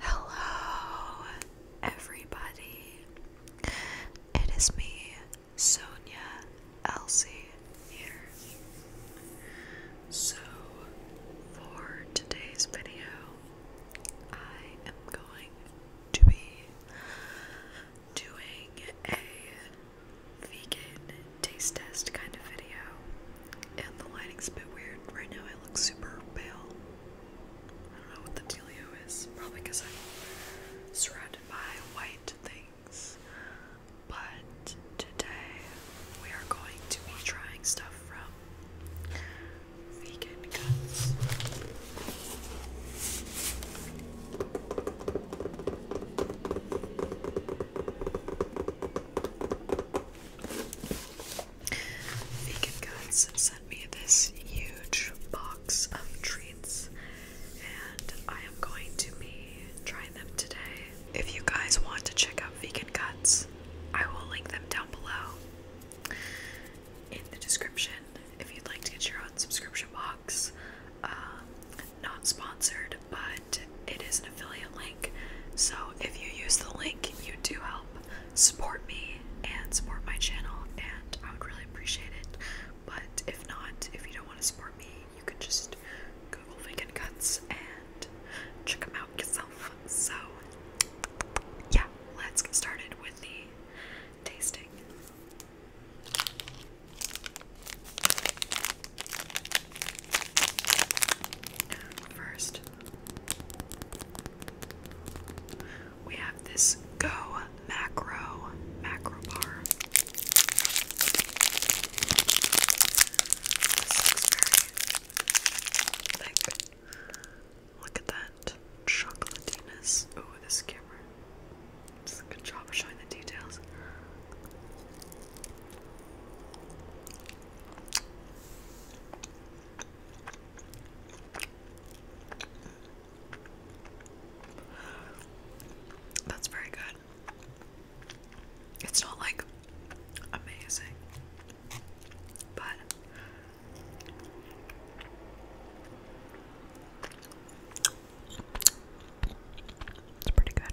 Hello, everybody. It is me, Sonia Elsie, here. So, for today's video, I am going to be doing a vegan taste test kind of video. And the lighting's a bit weird. Right now I look super pale. I don't know what the dealio is. Probably because I'm surrounded by white things. But today we are going to be trying stuff from Vegan Cuts. Vegan Goods sent me this huge box of treats, and I am going to be trying them today. If you guys want to check out Vegan Cuts, I will link them down below in the description if you'd like to get your own subscription box. Um, not sponsored, but it is an affiliate link. So if you use the link, you do help support me and support my channel, and I would really appreciate it. But if not, if you don't want to support me, you can just Google vegan cuts and check them out yourself. So, yeah, let's get started with the tasting. First, we have this Go Macro Macro Bar. Look at that chocolatiness. Oh, this camera. It's a good job of showing the details. That's very good. It's not like amazing, but it's pretty good.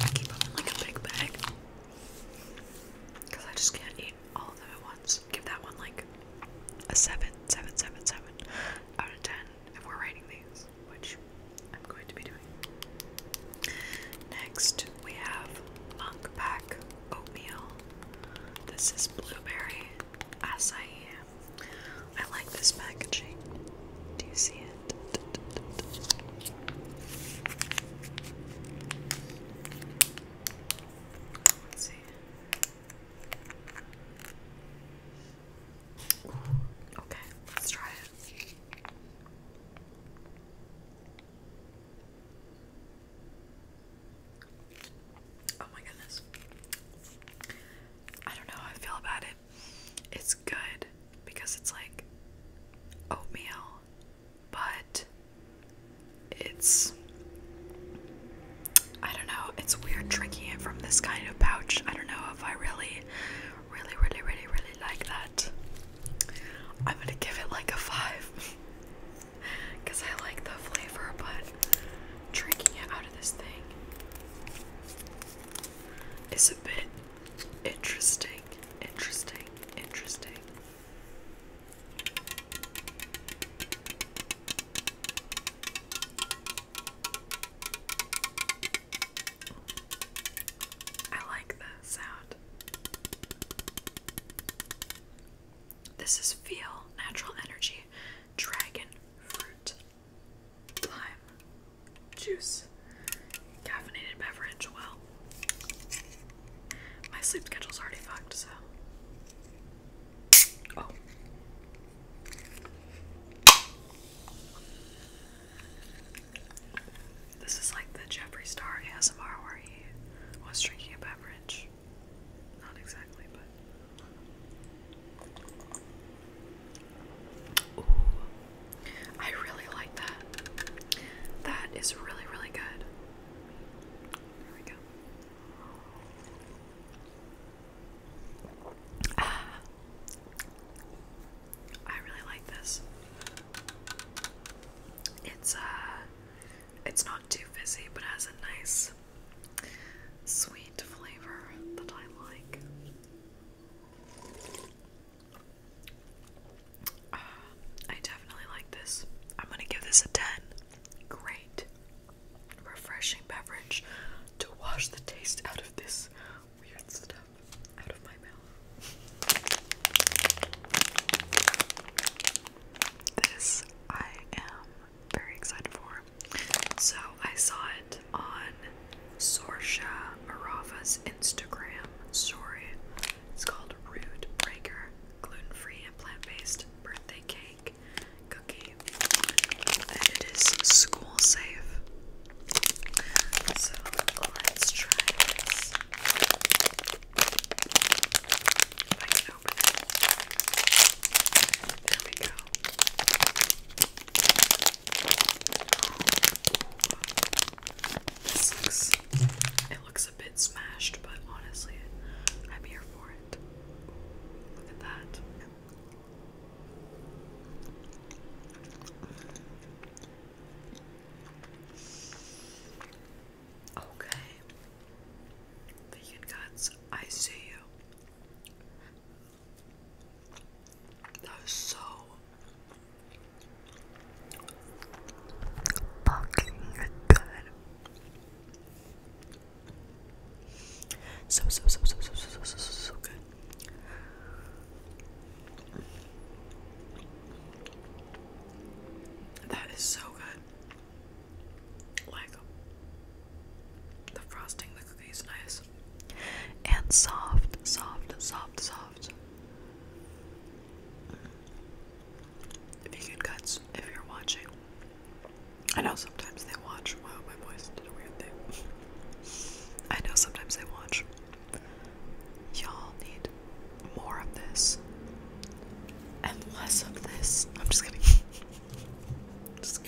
I keep them in like a big bag because I just can't eat all of them at once. Give that one like a seven, seven, seven, seven out of ten if we're rating these, which I'm going to be doing. Next, we have monk pack oatmeal. This is blueberry acai. I like this packaging. Do you see it? okay, let's try it. Oh my goodness. I don't know how I feel about it. It's good because it's like oatmeal, but it's I don't know, it's weird drinking it from this kind of pouch. I don't know if I really, really, really, really, really like that. I'm gonna give it like a five because I like the flavor, but drinking it out of this thing is a bit Interesting, interesting, interesting. I like that sound. This is Feel Natural Energy Dragon Fruit lime juice, caffeinated beverage. Well, my sleep schedule's already fucked, so. Oh. This is like the Jeffree Star ASMR where he was drinking a beverage. Not exactly, but I really like that. That is really, really good. There we go. Ah. I really like this. It's uh it's not too fizzy but has a nice sweet flavor that I like. Ah, I definitely like this. I'm gonna give this a 10. Great, refreshing beverage to wash the taste out of this weird stuff out of my mouth. This I am very excited for. So I saw it on Sorsha Arava's Instagram story. It's called Rude Breaker Gluten Free and Plant Based Birthday Cake Cookie. And it is school safe. So let's try this. I can open it. There we go it looks a bit smashed, but honestly, I'm here for it. Look at that. Okay. Vegan cuts, I see you. That is so fucking good. So, so, so, so, so, so, so, so, good. That is so good and soft, soft, soft, soft. If you could cuts, if you're watching, I know sometimes they watch. Wow, my voice did a weird thing. I know sometimes they watch. Y'all need more of this and less of this. I'm just kidding. just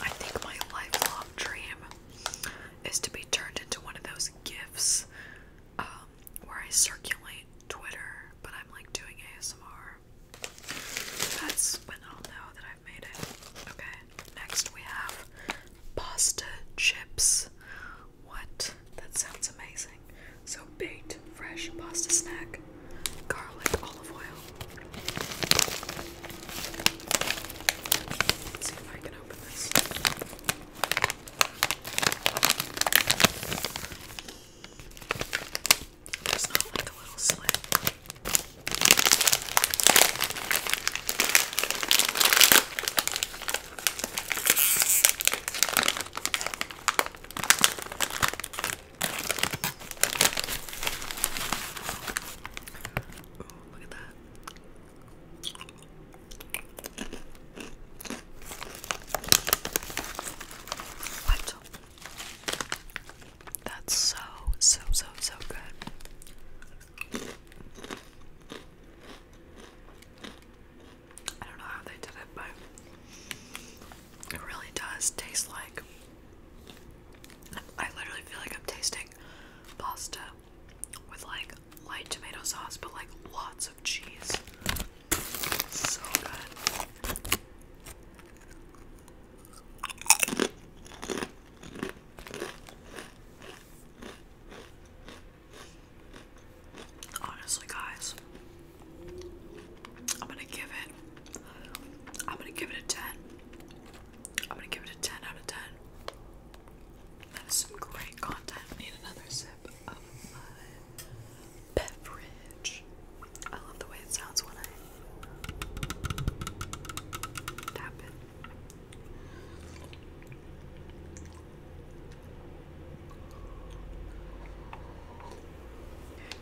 I think my lifelong dream is to be turned into one of those gifts um, where I circulate Twitter, but I'm like doing ASMR. That's when I'll know that I've made it. Okay, next we have pasta chips what? That sounds amazing. So baked, fresh pasta snack, garlic, olive oil. Let's see if I can open this. There's not like a little slit look at that. What? That's so, so, so, so good. I don't know how they did it, but it really does taste like. I literally feel like I'm tasting pasta with like light tomato sauce, but like lots of cheese. So good. Honestly, guys, I'm gonna give it. I'm gonna give it a ten. I'm gonna give it a ten out of ten. That is some great content. need another sip of my beverage. I love the way it sounds when I tap it.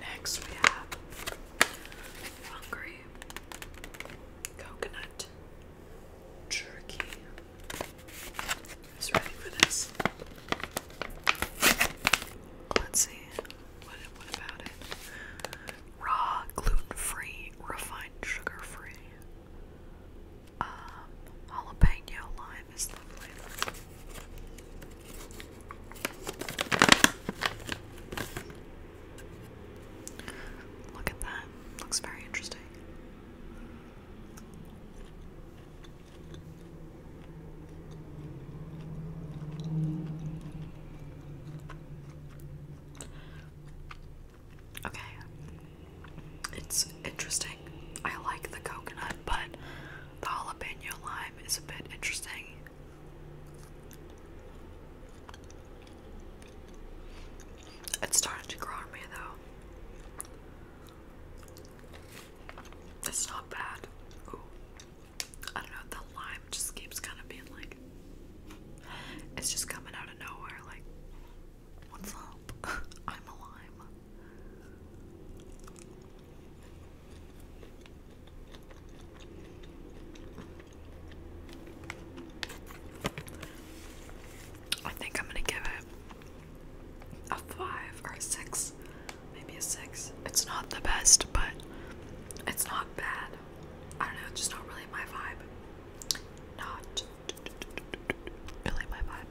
Next we have Hungry Coconut Jerky. Who's ready for this? Let's see. What, about it? Raw, gluten free, refined, sugar free. Um, jalapeno lime is lovely. Look at that. Looks very interesting. Okay. It's interesting. I like the coconut, but the jalapeno lime is a bit interesting. It's starting to grow on me though. It's not bad. I don't know, the lime just keeps kind of being like. It's just coming out of nowhere, like. What's up? I'm a I think I'm gonna give it a five or a six, maybe a six. It's not the best, but it's not bad. I don't know, it's just not really my vibe. Not Really my vibe.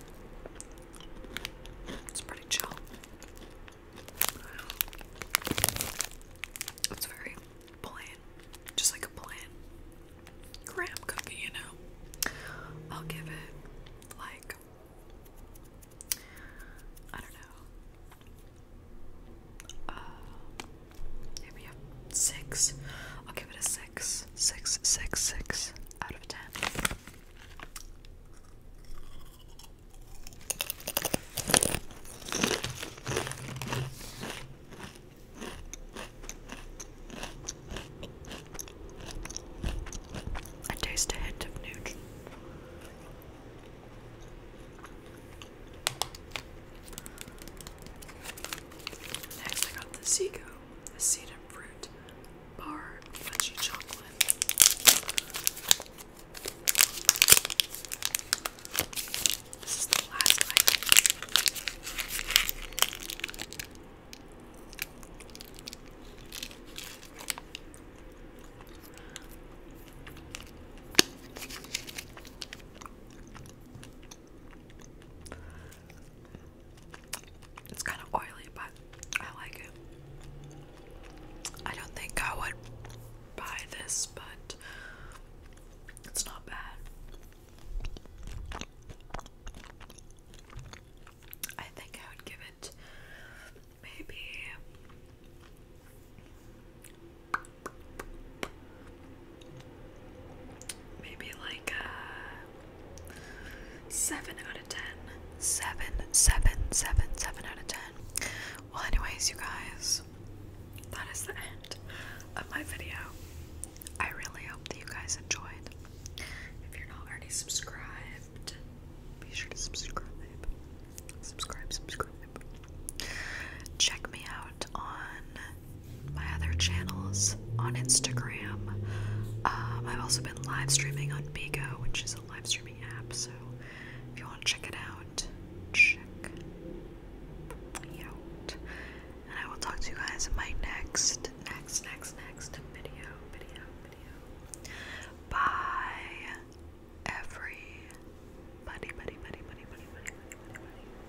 It's pretty chill. It's very plain, just like a plain graham cookie, you know. I'll give it like I don't know, uh, maybe a six. I'll give it a six, six, six, six out of 10. I taste a hint of Nutri. Next, I got the Seago a seed and fruit bar fudgy chocolate. This is the last item. It's kind of oily, but I like it. I don't think I would buy this, but it's not bad. I think I would give it maybe maybe like uh, seven out of ten. Seven, seven, seven, seven out of ten. Well, anyways, you guys, that is the end of my video. I really hope that you guys enjoyed. If you're not already subscribed, be sure to subscribe. Subscribe, subscribe. Check me out on my other channels on Instagram. Um, I've also been live streaming on Bigo, which is a live streaming app. So if you want to check it out, check it out. And I will talk to you guys in my next, next, next, next video, video, video. Bye, every buddy, buddy, buddy, buddy, buddy. buddy.